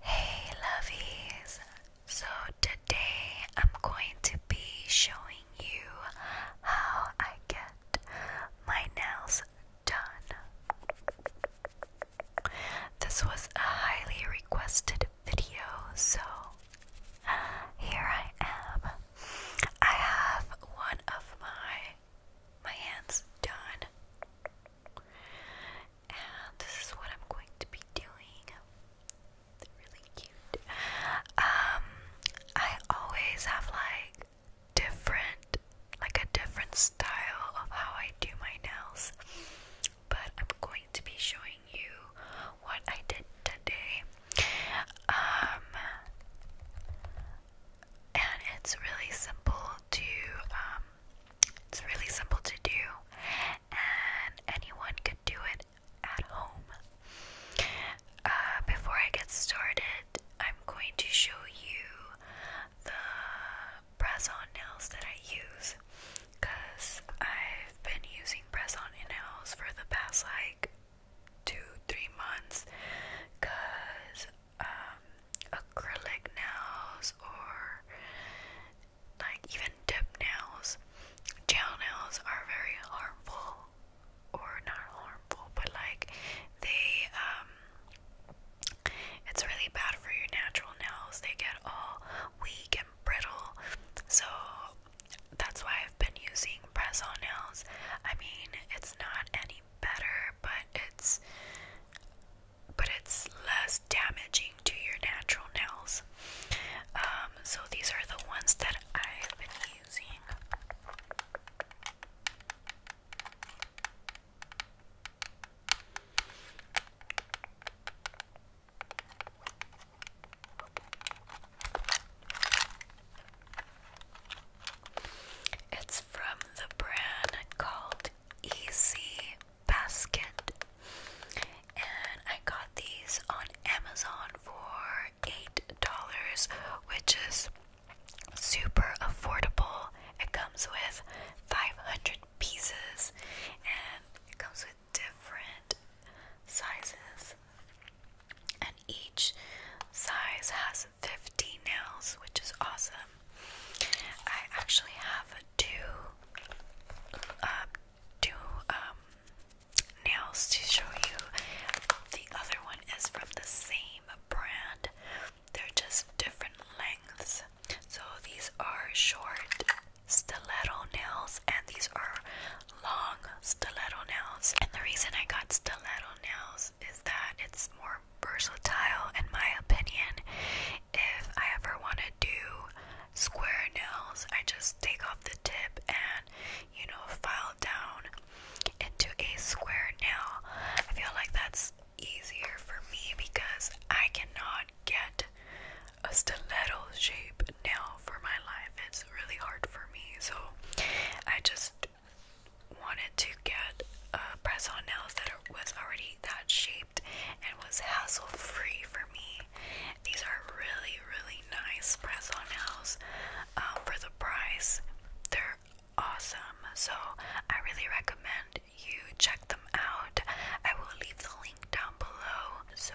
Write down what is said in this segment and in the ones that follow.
Hey lovies! So today I'm going to be showing you how I get my nails done. This was a highly requested video, so here I am. I have one of my my hands done, and this is what I'm going to be doing. really cute. Um, I always have like different, like a different style of how I do my nails but I'm going to be showing you what I did today. Um, and it's really simple to, um, it's really simple to do, and anyone could do it at home. Uh, before I get started, I'm going to show you the press on nails that I use because I've been using press on in for the past like two, three months because um, acrylic nails or like even dip nails, gel nails are very harmful or not harmful, but like they, um, it's really bad for your natural nails. They get all weak brittle. So that's why I've been using press on nails. I mean, it's not any better, but it's but it's less damaging to your natural nails. Um, so these are the ones that I've been using. It's from the brand called Easy Basket, and I got these on Amazon for eight dollars, which is super affordable. It comes with 500 pieces, and it comes with different sizes, and each size has 50 nails, which is awesome. I actually have two, uh, two um, nails to show you. The other one is from the same brand. They're just different lengths. So these are short stiletto nails, and these are long stiletto nails. And the reason I got stiletto nails is that it's more versatile, in my opinion. If I ever want to do square nails, I just take off the tip and you know, file down into a square nail. I feel like that's easier for me because I cannot get a stiletto shape now for my life. It's really hard for me, so I just wanted to get a press on nails that was already that shaped and was hassle free for me. These are really, really nice press on nails um, for the price. They're awesome, so I really recommend you check them out. I will leave the link down below. So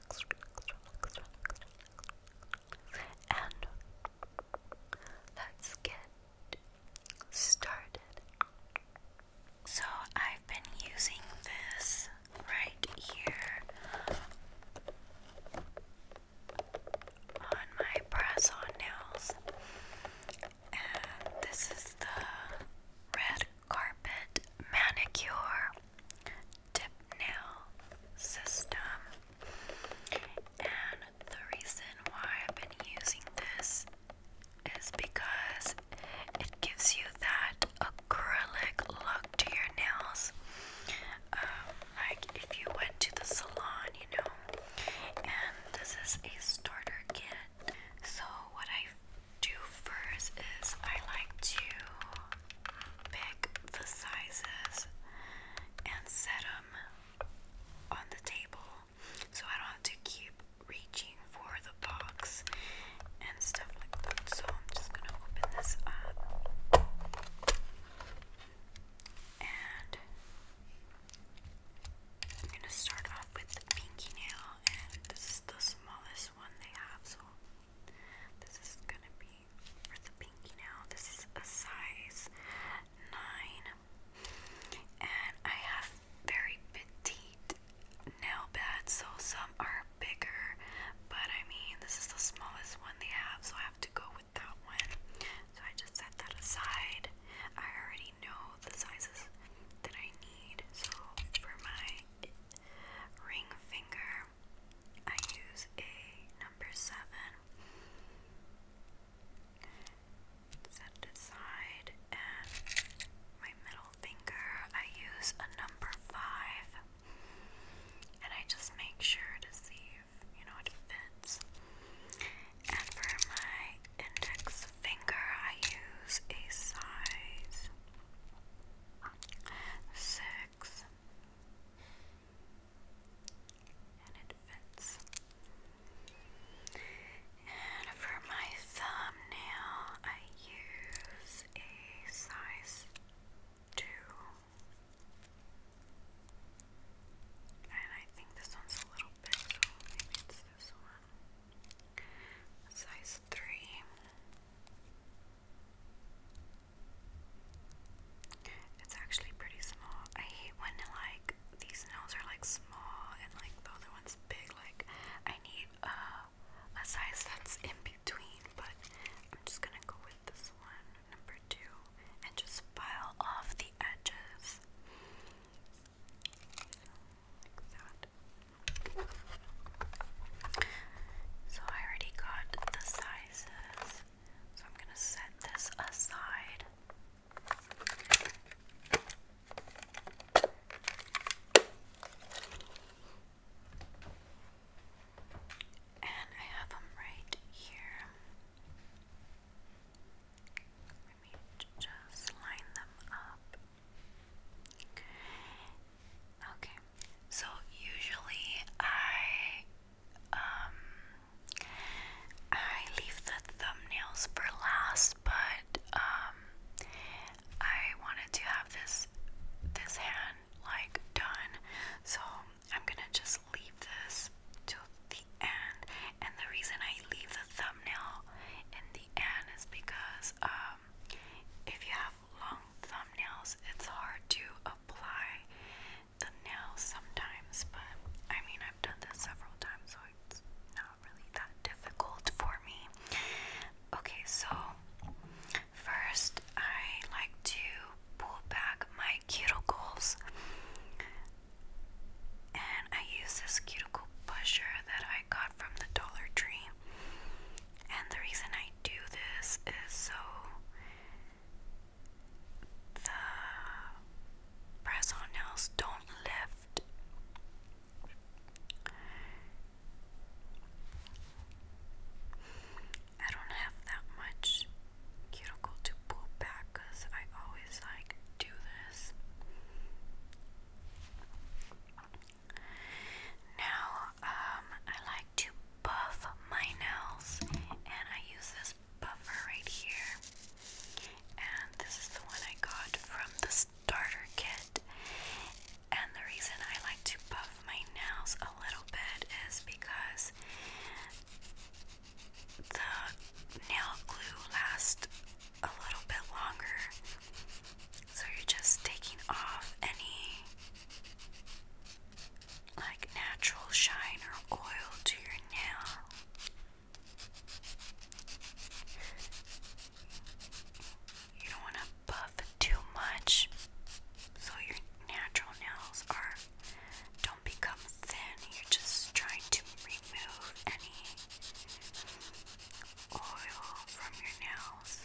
and let's get started. So, I've been using this right here on my press on nails, and this is the red carpet manicure tip nail system. And the reason why I've been using this is because it gives you that acrylic look to your nails. Um, like if you went to the salon, you know. And this is a starter kit. So, what I do first is I like to pick the sizes and set them on the table so I don't have to keep reaching for the box and stuff like that. So I'm just going to open this up and I'm going to start off with the pinky nail this is the smallest one they have so this is gonna be for the pinky now. This is a size 9. And I have very petite nail beds, so some are bigger, but I mean, this is the smallest one they have, so I have to go with that one. So I just set that aside. I already know the sizes that I need, so for my ring finger, I use a number seven. Set aside, and my middle finger, I use a number five, and I just make sure to see if you know it fits. And for my index finger, I use a size six, and it fits. And for my thumbnail, I use a size two, and I think this one's a little big, so maybe it's this one. Size three. It's actually pretty small. I hate when like these nails are like small and like the other one's big. Like I need uh, a size that's in between, but I'm just gonna go with this one, number two, and just file off the edges. So I already got the sizes. So I'm going to set this aside. And I have them right here. Let me just line them up. Okay. So usually I um I leave the thumbnails for last, but um I wanted to have this this hand like done. So I'm gonna just leave this to the end. And the reason I leave the thumbnail in the end is because um if you have long thumbnails, it's hard to apply the nails sometimes, but I mean, I've done this several times, so it's not really that difficult for me. Okay, so first, I like to pull back my cuticles, and I use this cuticle pusher that I got from the Dollar Tree. And the reason I do this is so the press on nails don't lift. I don't have that much cuticle to pull back because I always like do this. Now, um, I like to buff my nails, and I use this buffer right here. And this is the one I got from the starter kit. And the reason I like to buff my nails a little bit is because the nail glue lasts a little bit longer. So you're just taking off any like natural shine or oil to your nail. You don't want to buff too much so your natural nails are don't become thin. You're just trying to remove any oil from your nails.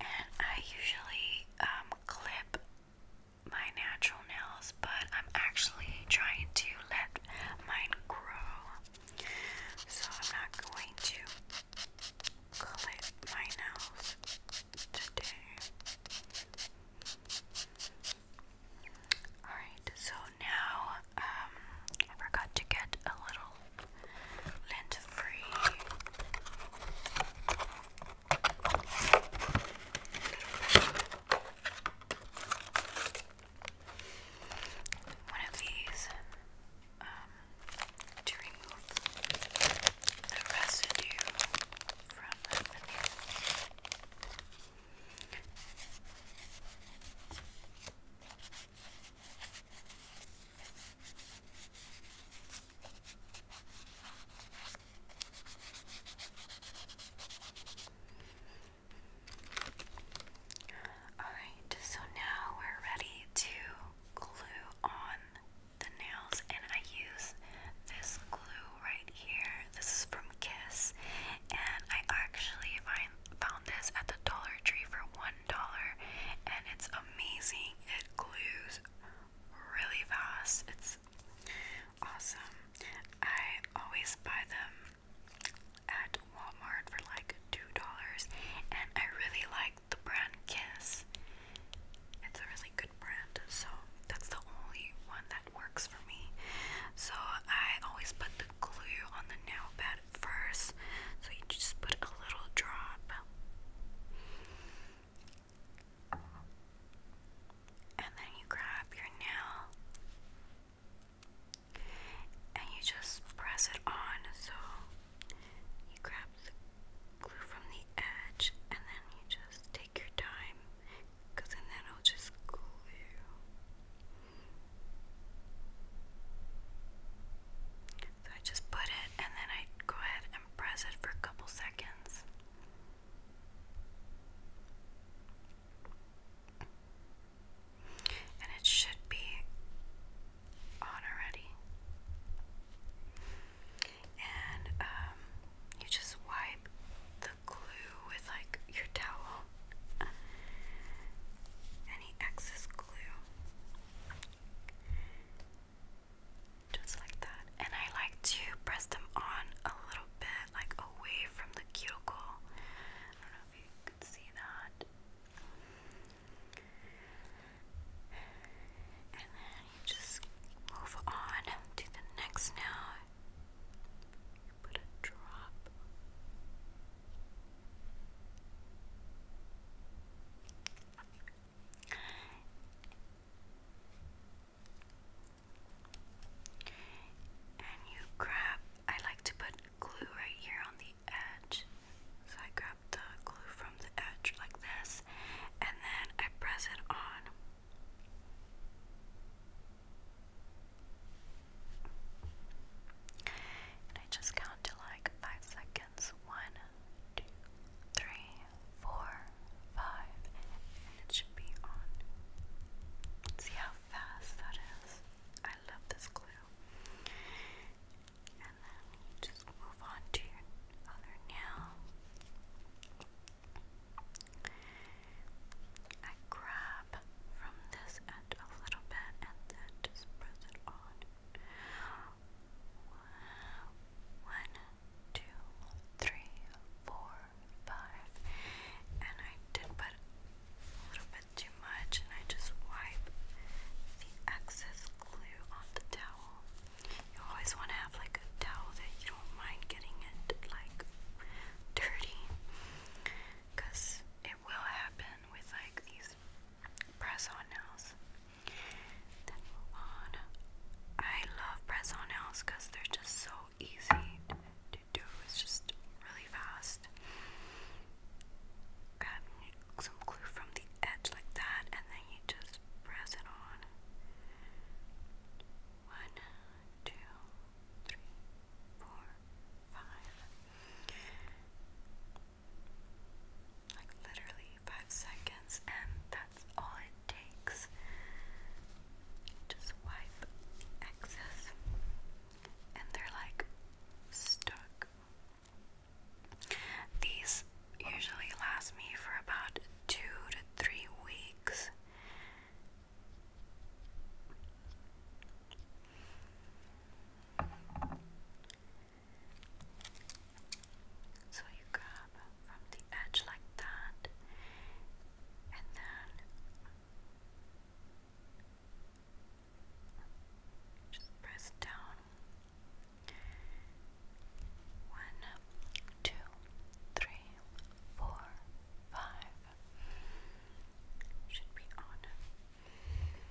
And I usually um, clip my natural nails, but I'm actually trying to let mine grow so I'm not going to clip my nails today. Alright, so now um, I forgot to get a little lint free one of these um, to remove the residue from Alright, so now we're ready to glue on the nails, and I use this glue right here. This is from Kiss, and I actually find, found this at the Dollar Tree for $1, and it's amazing. It glues really fast. It's awesome. I always buy them at Walmart for like two dollars, and I really like the brand Kiss. It's a really good brand, so that's the only one that works for me. So I always put the glue on the nail bed first, so you just put a little drop. And then you grab your nail and you just press it on. So you grab the glue from the edge, and then you just take your time because then it'll just glue. So I just put it and then I go ahead and press it for a couple seconds and it should be on already. And um, you just wipe the glue with like your towel, any excess glue, just like that. And I like to press them on a little bit, like away from the cuticle. I don't know if you can see that. And then you just move on to the next now. You put a drop. And you grab, I like to put glue right here on the edge. So I grab the glue from the edge like this, and then I press it on. I just count to like five seconds. One, two, three, four, five, and it should be on. See how fast that is? I love this glue blue. And then we just move on to your other nail. I grab from this end a little bit and then just press it on. One, two, three, four, five. And I did put a little too much, and I just wipe the excess glue on the towel. You always want to have like a towel that you don't mind getting it like dirty, because it will happen with like these press-on nails. on. I love press-on nails because they're just so easy to do. It's just fast. Grab some glue from the edge like that, and then you just press it on. One, two, three, four, five. Like literally five seconds, and that's all it takes. Just wipe excess, and they're like stuck these usually last me for about two to three weeks. So you grab from the edge like that, and then just press down. One, two, three, four, five. Should be on.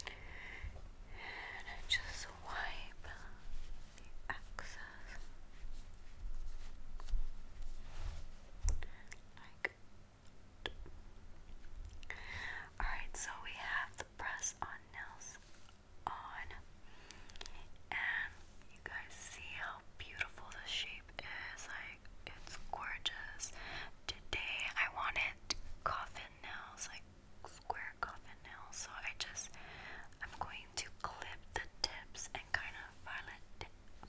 And just wipe the excess like Alright, so we have the press on nails on, and you guys see how beautiful the shape is. Like, it's gorgeous. Today, I wanted coffin nails, like square coffin nails, so I just, I'm going to clip the tips and kind of violet,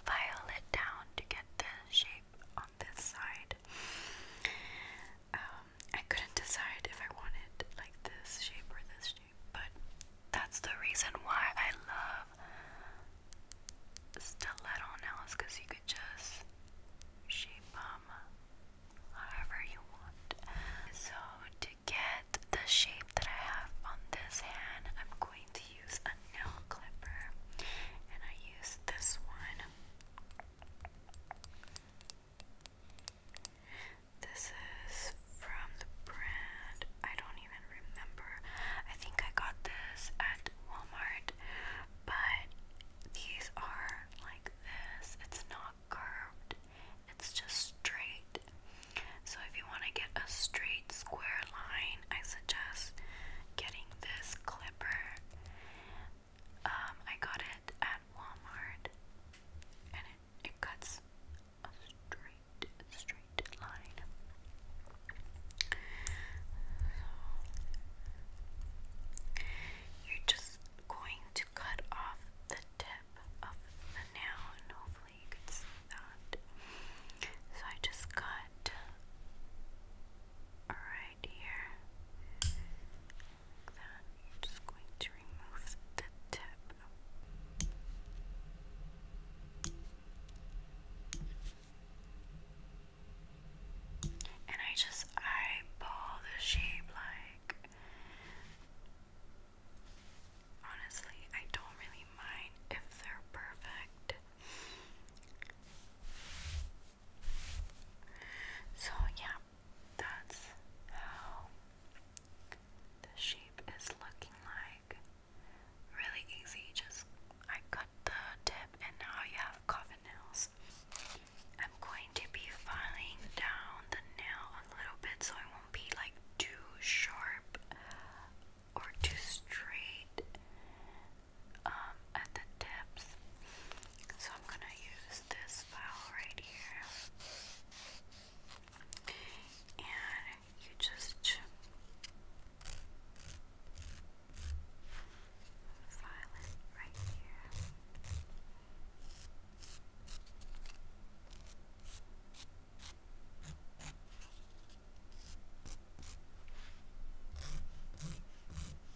violet down to get the shape on this side um, I couldn't decide if I wanted like this shape or this shape, but that's the reason why I love stiletto nails because you could just shape them however you want. So, to get the shape that I have on this hand, I'm going to use a nail clipper, and I use this one. This is from the brand, I don't even remember. I think I got this at Walmart, but these are like this. It's not curved, it's just straight. So, if you want to get a straight square line, I suggest getting this clipper. Um, I got it at Walmart, and it, it cuts a straight, straight line. So, you're just going to cut off the tip of the nail, and hopefully you can see that. So I just cut right right here. Like that. i just going to remove the tip. And I just eyeball the shape like honestly, I don't really mind if they're perfect. So, yeah, that's how the shape is looking like. Really easy, just I cut the tip, and now you have coffin nails. I'm going to be filing down the nail a little bit so it won't be like too sharp or too straight. Um, at the tips. So I'm going to use this file right here. And you just file it right here.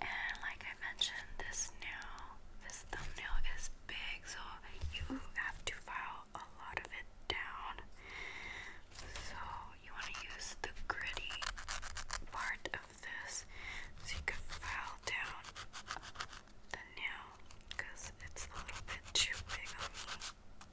And like I mentioned, this new this thumbnail is big, so you have to file a lot of it down. So you want to use the gritty part of this so you can file down the nail because it's a little bit too big on me.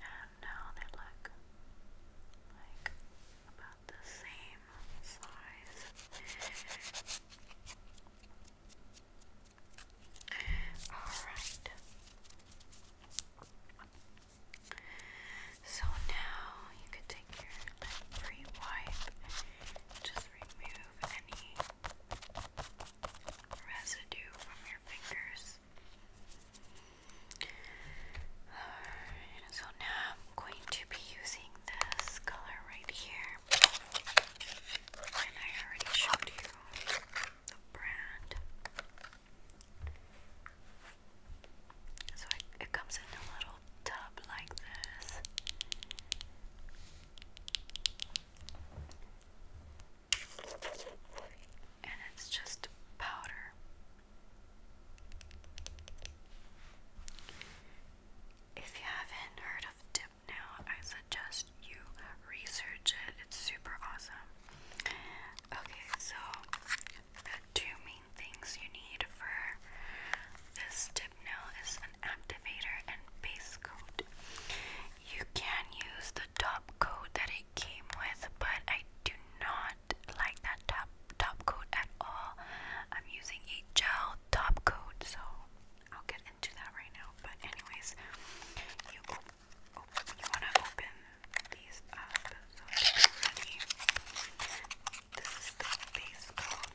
And now they look like about the same size. Alright. So now you could take your free wipe, just remove any residue from your fingers. so now I'm going to be using this color right here. And I already showed you the brand. So it comes in a little tub like this. And it's just powder. If you haven't heard of dip I suggest you research it. It's super awesome. Okay, so the two main things you need for this tip nail is an activator and base coat. You can use the top coat that it came with, but I do not like that top top coat at all. I'm using a gel top coat, so I'll get into that right now. But anyways, you wanna open these up so This is the base coat.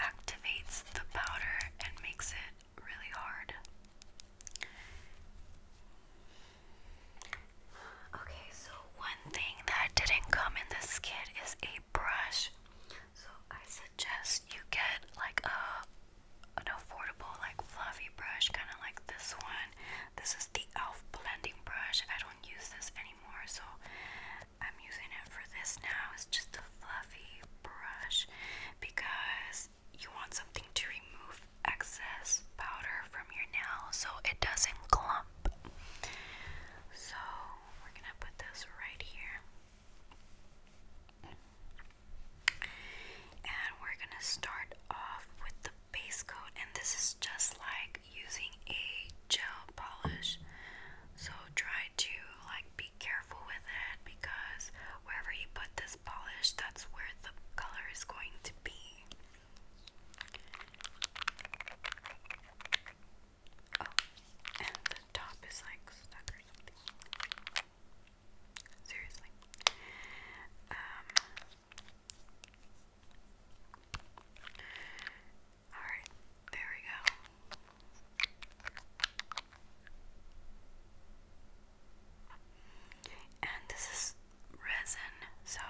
activates the powder and makes it really hard. Okay, so one thing that didn't come in this kit is a brush. So I suggest you get like a an affordable like fluffy brush kind of like this one. This is the e.l.f. blending brush. I don't use this anymore, so I'm using it for this now It's just a fluffy brush because you want something to remove excess powder from your nail so it doesn't clump. So we're gonna put this right here. And we're gonna start off with the base coat, and this is just like using a gel polish. So try to like be be careful with it because wherever you put this polish, that's where the color is going to be. Oh, and the top is like stuck or something. Seriously. Um, Alright, there we go. And this is resin, so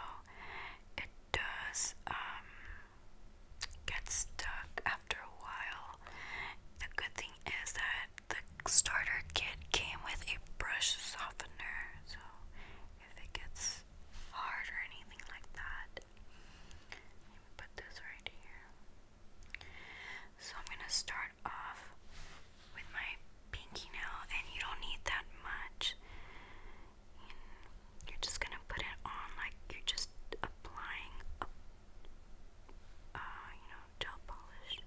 it does um, get stuck after a while. The good thing is that the starter kit came with a brush softener, so if it gets hard or anything like that, put this right here. So I'm going to start off with my pinky nail, and you don't need that much. You're just going to put it on like you're just applying a, uh, you know, gel polish.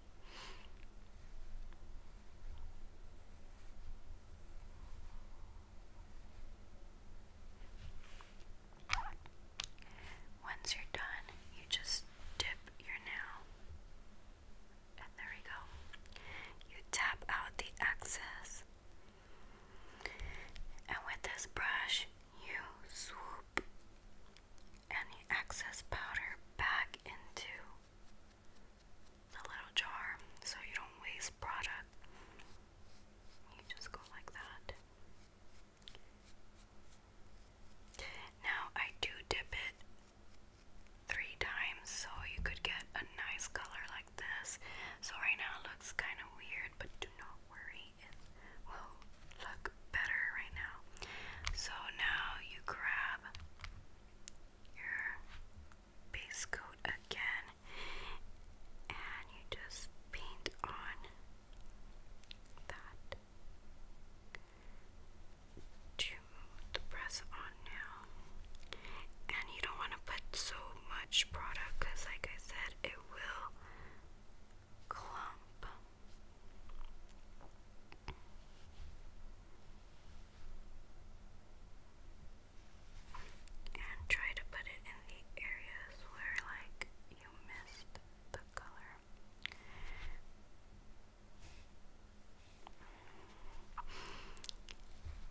Once you're done, you just dip your nail. And there we go. You tap out the excess. And with this brush, you swoop any excess powder back into the little jar so you don't waste product. You just go like that. Now I do dip it three times so you could get a nice color like this. So right now it looks kind of weird, but do not worry, it will look better right now. So now you grab your base coat again and you just paint on that to press on now. And you don't want to put so much product because, like I said, it will clump. And try to put it in the areas where, like, you missed the color.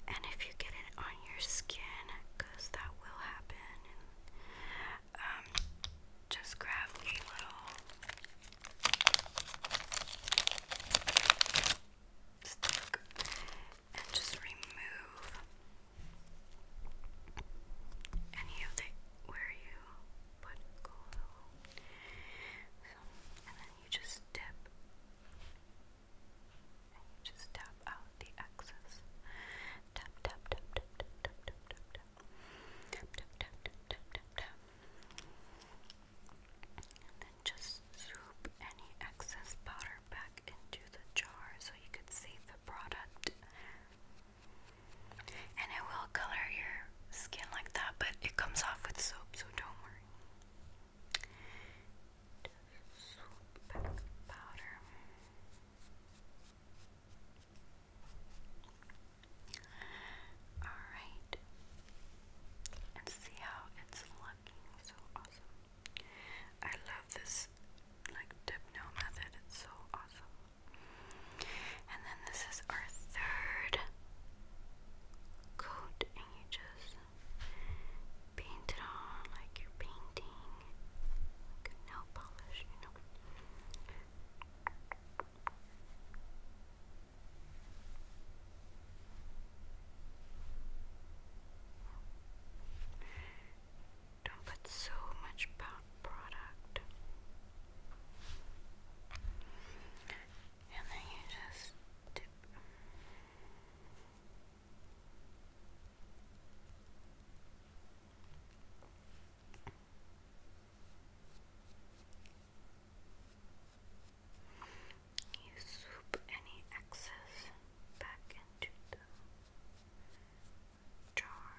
And if you get it on your skin, because that will happen, um, just grab a little stick and just remove any of the where you put glue, so, and then you just dip, just tap out the excess. Tap tap tap tap tap tap tap tap tap tap tap tap tap and then just swoop any excess powder back into the jar so you could save the product. And it will color your skin like that, but it comes off with soap, so don't worry. Alright. And see how it's looking. So awesome. I love this like dip no method. It's so awesome. And then this is our third coat, and you just paint it on like you're painting nail polish, you know. Don't put so much product. And then you just You swoop any excess back into the jar.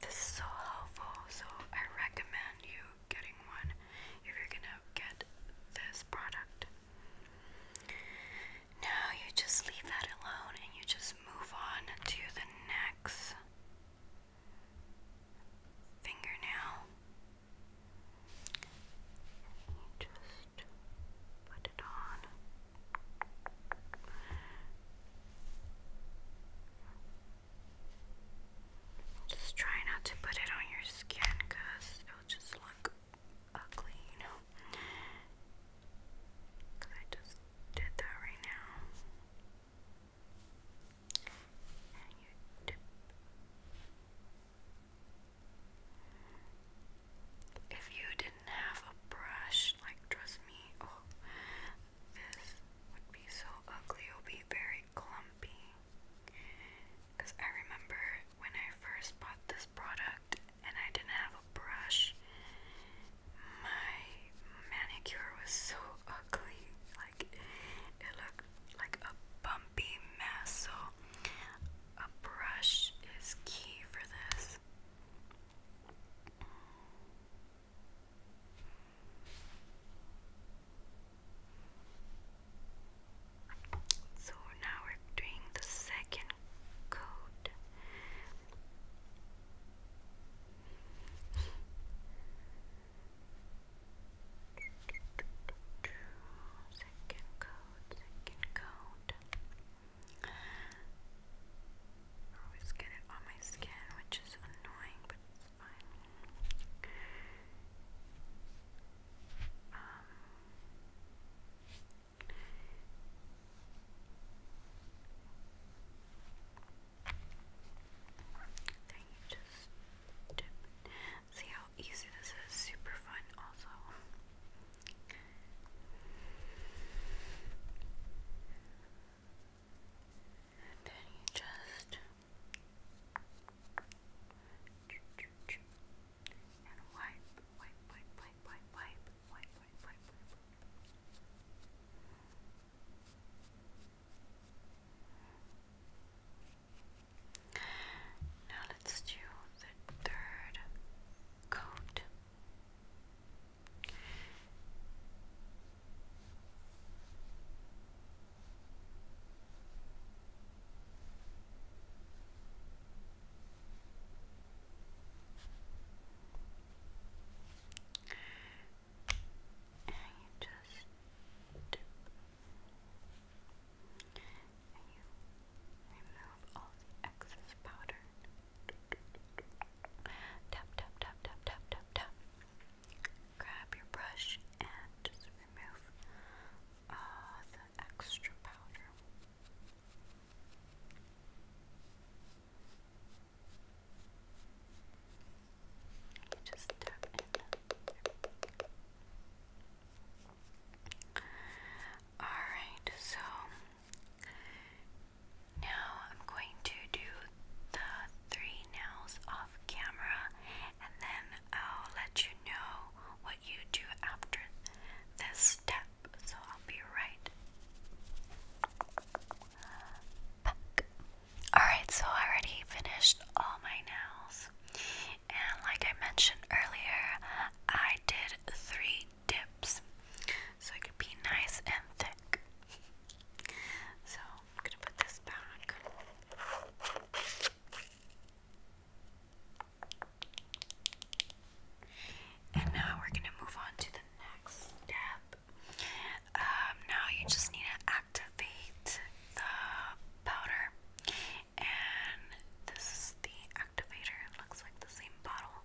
This is so helpful, so I recommend you getting one if you're gonna get this product. Now you just leave that alone and you just move on to the next fingernail. just just put it on. Just try not to put it on your skin because it'll just look ugly, you know. Because I just did that right now. If you did have a brush, like, trust me, oh, this would be so ugly. It would be very clumpy. Because I remember when I first bought this product and I didn't have a brush, my manicure was so ugly. Like, it looked like a bumpy mess. So, a brush is key for this. So now we're doing the second coat. Second coat, second coat. I always get it on my skin, which is annoying, but it's fine. Um, then you just dip. See how easy this is? Super fun, also. And then you just and wipe, wipe, wipe, wipe, wipe, wipe, wipe, wipe, wipe. Now let's do the third coat. And you just and you remove all the excess powder. Tap, tap, tap, tap, tap, tap, tap. Grab your brush and just remove the extra powder. just tap Alright, so now I'm going to do the three nails off camera and then I'll let you know what you do after this step. So I'll be right Alright, so I already finished all my nails. And like I mentioned earlier, I did three dips so it could be nice and thick. So I'm gonna put this back. And now we're gonna move on to the next step. Um, now you just need to activate the powder, and this is the activator. It looks like the same bottle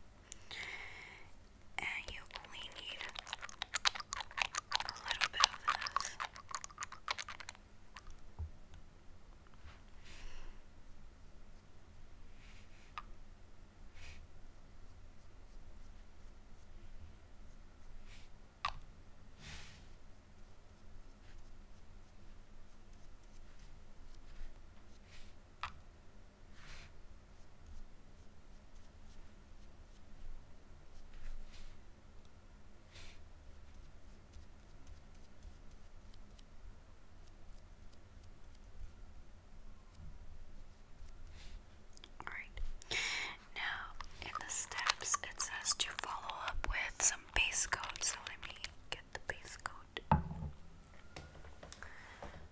and you only need a little bit of this. All right. Now, in the steps, it says to follow up with some base coat. So let me get the base coat.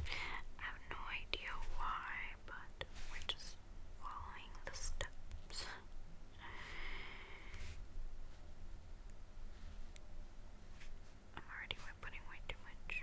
I have no idea why, but we're just following the steps. I'm already putting way too much.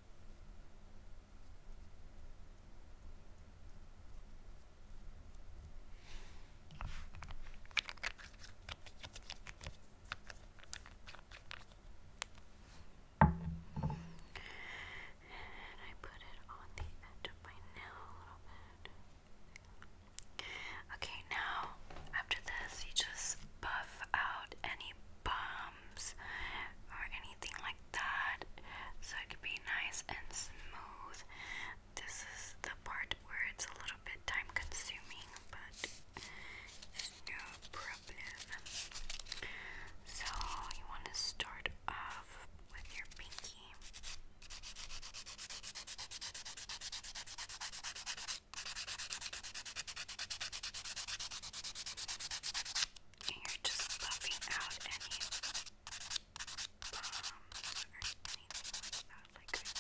And I put it on the edge of my nail a little bit. Okay, now after this, you just buff out any bumps or anything like that, so it could be nice and smooth. This is the part where it's a little bit time consuming, but it's no problem. So, you want to start off with your pinky. And you're just buffing out any bumps or anything like that, like just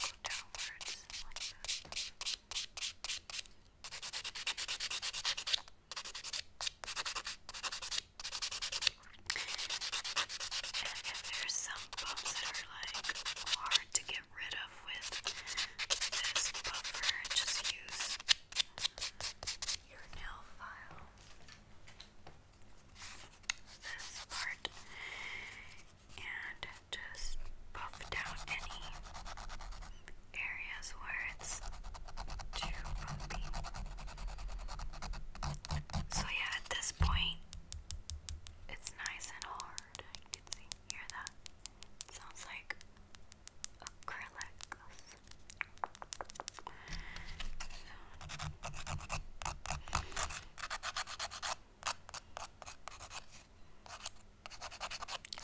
go downwards like this. And if there's some bumps that are like hard to get rid of with this buffer, just use your nail file. This part and just buff down any areas where it's too bumpy. So yeah, at this point, it's nice and hard. You can see, hear that? sounds like acrylic.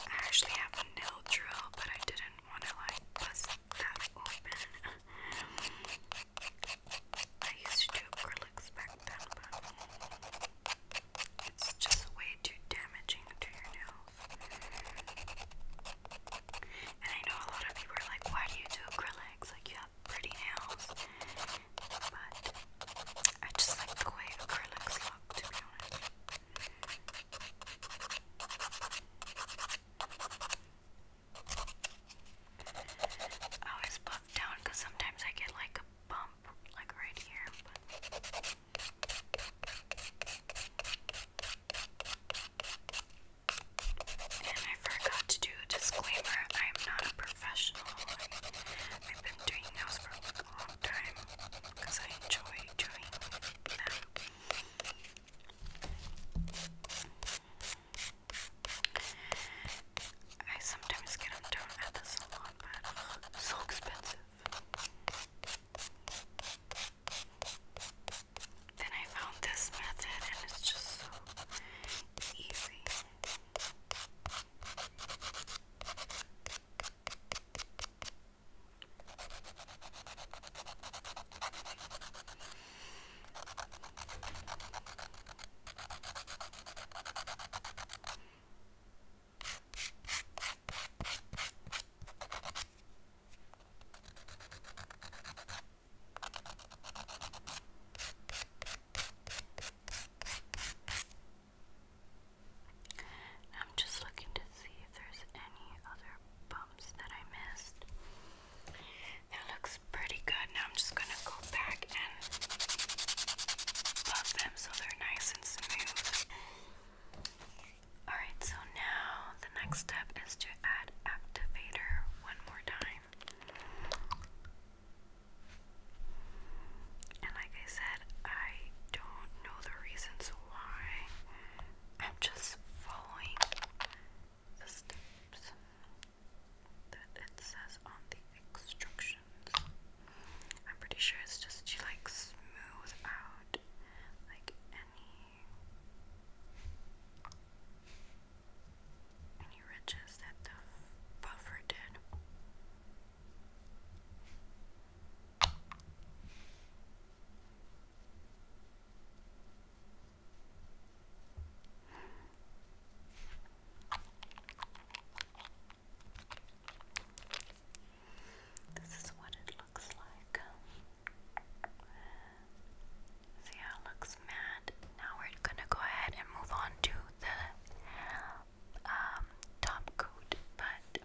I actually have a nail drill, but I didn't want to like bust that open. I used to do acrylics back then, but it's just way too damaging to your nails. And I know a lot of people are like, why do you do acrylics? Like, you have pretty nails. But I just like the way acrylics look, to be honest. I always look down because sometimes I get like a bump, like right here. And I forgot to do a disclaimer I am not a professional. I, have been doing those for a long time because I enjoy doing them. I sometimes get them done at the salon, but so expensive. Then I found this method, and it's just so easy. I'm just looking to see if there's any other bumps that I missed. That looks pretty good. Now I'm just going to go back and buff them so they're nice and smooth. Alright, so now the next step is to add activator one more time. And like I said, I don't know the reasons why. I'm just following the steps that it says on the instructions. I'm pretty sure it's just to like smooth out like any any ridges that the buffer did. This is what it looks like. See how it looks matte. Now we're gonna go ahead and move on to the um, top coat, but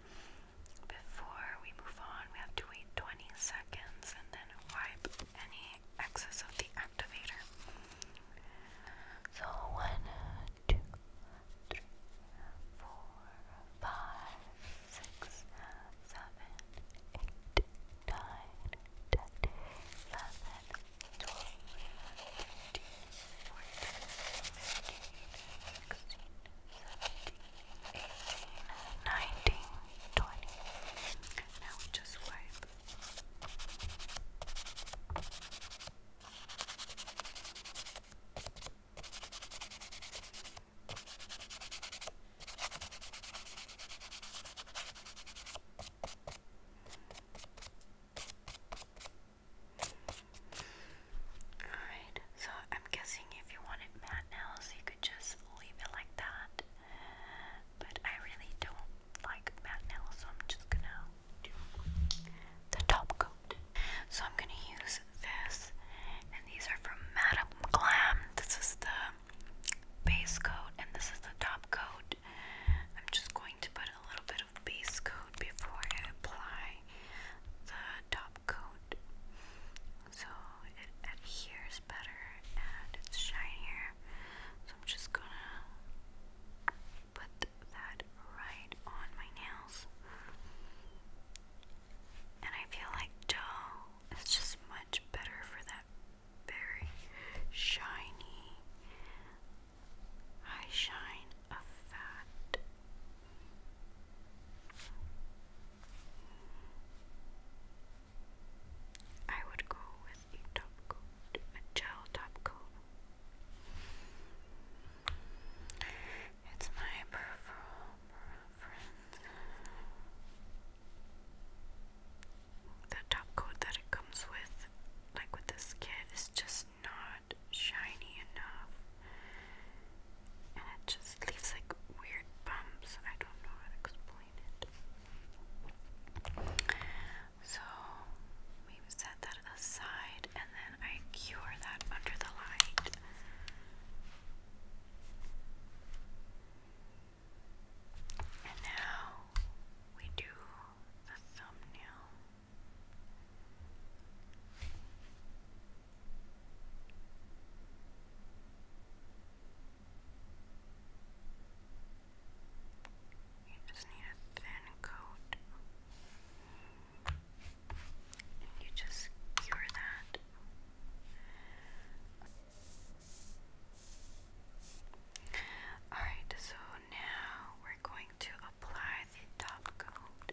before we move on, we have to wait 20 seconds and then wipe any excess of the activator. So one, two, three, four, five, six, seven, eight, nine, ten, eleven, twelve, thirteen, fourteen, fifteen, sixteen, seventeen, eighteen, nineteen, twenty. Now we just wipe Alright, so I'm guessing if you want matte now, you could just leave it like that but I really don't like matte nails, so I'm just gonna do the top coat. So I'm gonna use this, and these are from Madame Glam. This is the base coat, and this is the top coat. I'm just going to put a little bit of base coat before I apply the top coat so it adheres better and it's shinier. So I'm just gonna put that right on my nails. And I feel like dough is just much better for that very shiny high shine of I would go with a top coat, a gel top coat. It's my preference. The top coat that it comes with, like with this kit, is just not shiny enough. And it just leaves like weird bumps. I don't know how to explain it. So we set that aside and then I cure that under the light. And now we do the thumbnail. You just need a thin coat. And you just cure that. Alright, so now we're going to apply the top coat.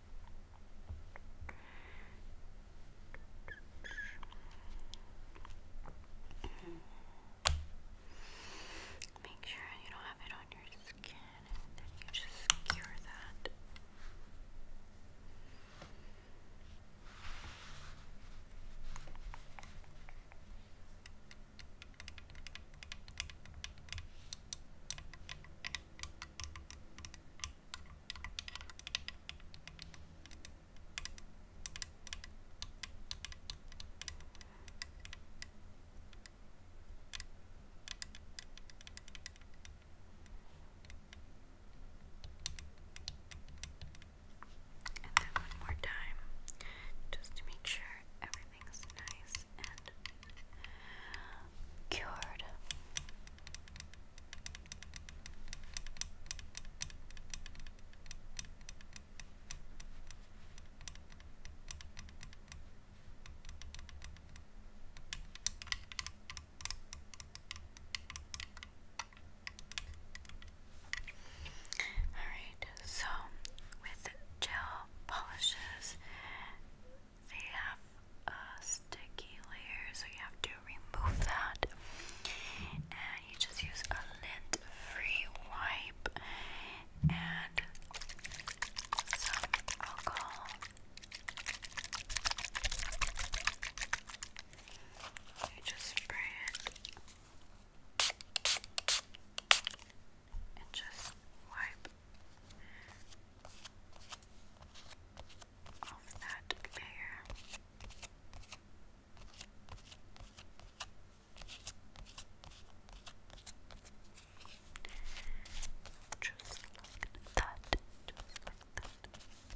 Make sure you don't have it on your skin and then you just cure that. And then one more time, just to make sure everything's nice and cured. Alright, so with gel polishes, they have a uh, sticky layer, so you have to remove that. And you just use a lint free wipe and some alcohol. You just spray it and just wipe off that layer. Just like that, just like that.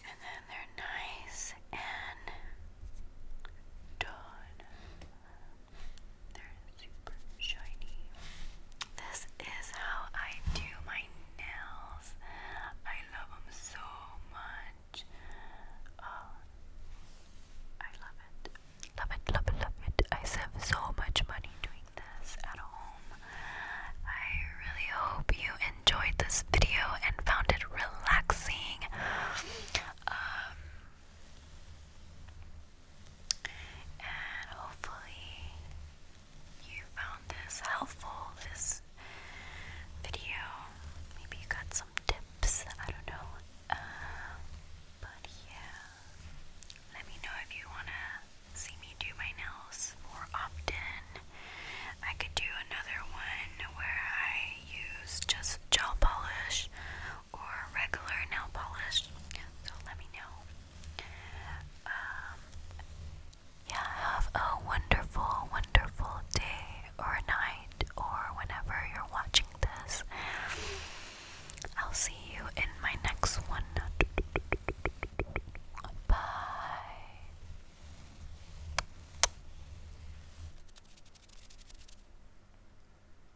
And then they're nice and done. They're super shiny. This is how I do my nails. I love them so much. Oh, I love it. Love it, love it, love it. I save so much money doing this at home. I really hope you enjoyed this video and found it relaxing. Um, and hopefully, you found this helpful, this video. Maybe you got some tips, I don't know. Uh, but yeah, let me know if you want to see me do my nails more often. I could do another one where I use just gel polish or regular nail polish. So let me know. Um, yeah, have a wonderful, wonderful day or night or whenever you're watching this. I'll see you in my next one. Bye.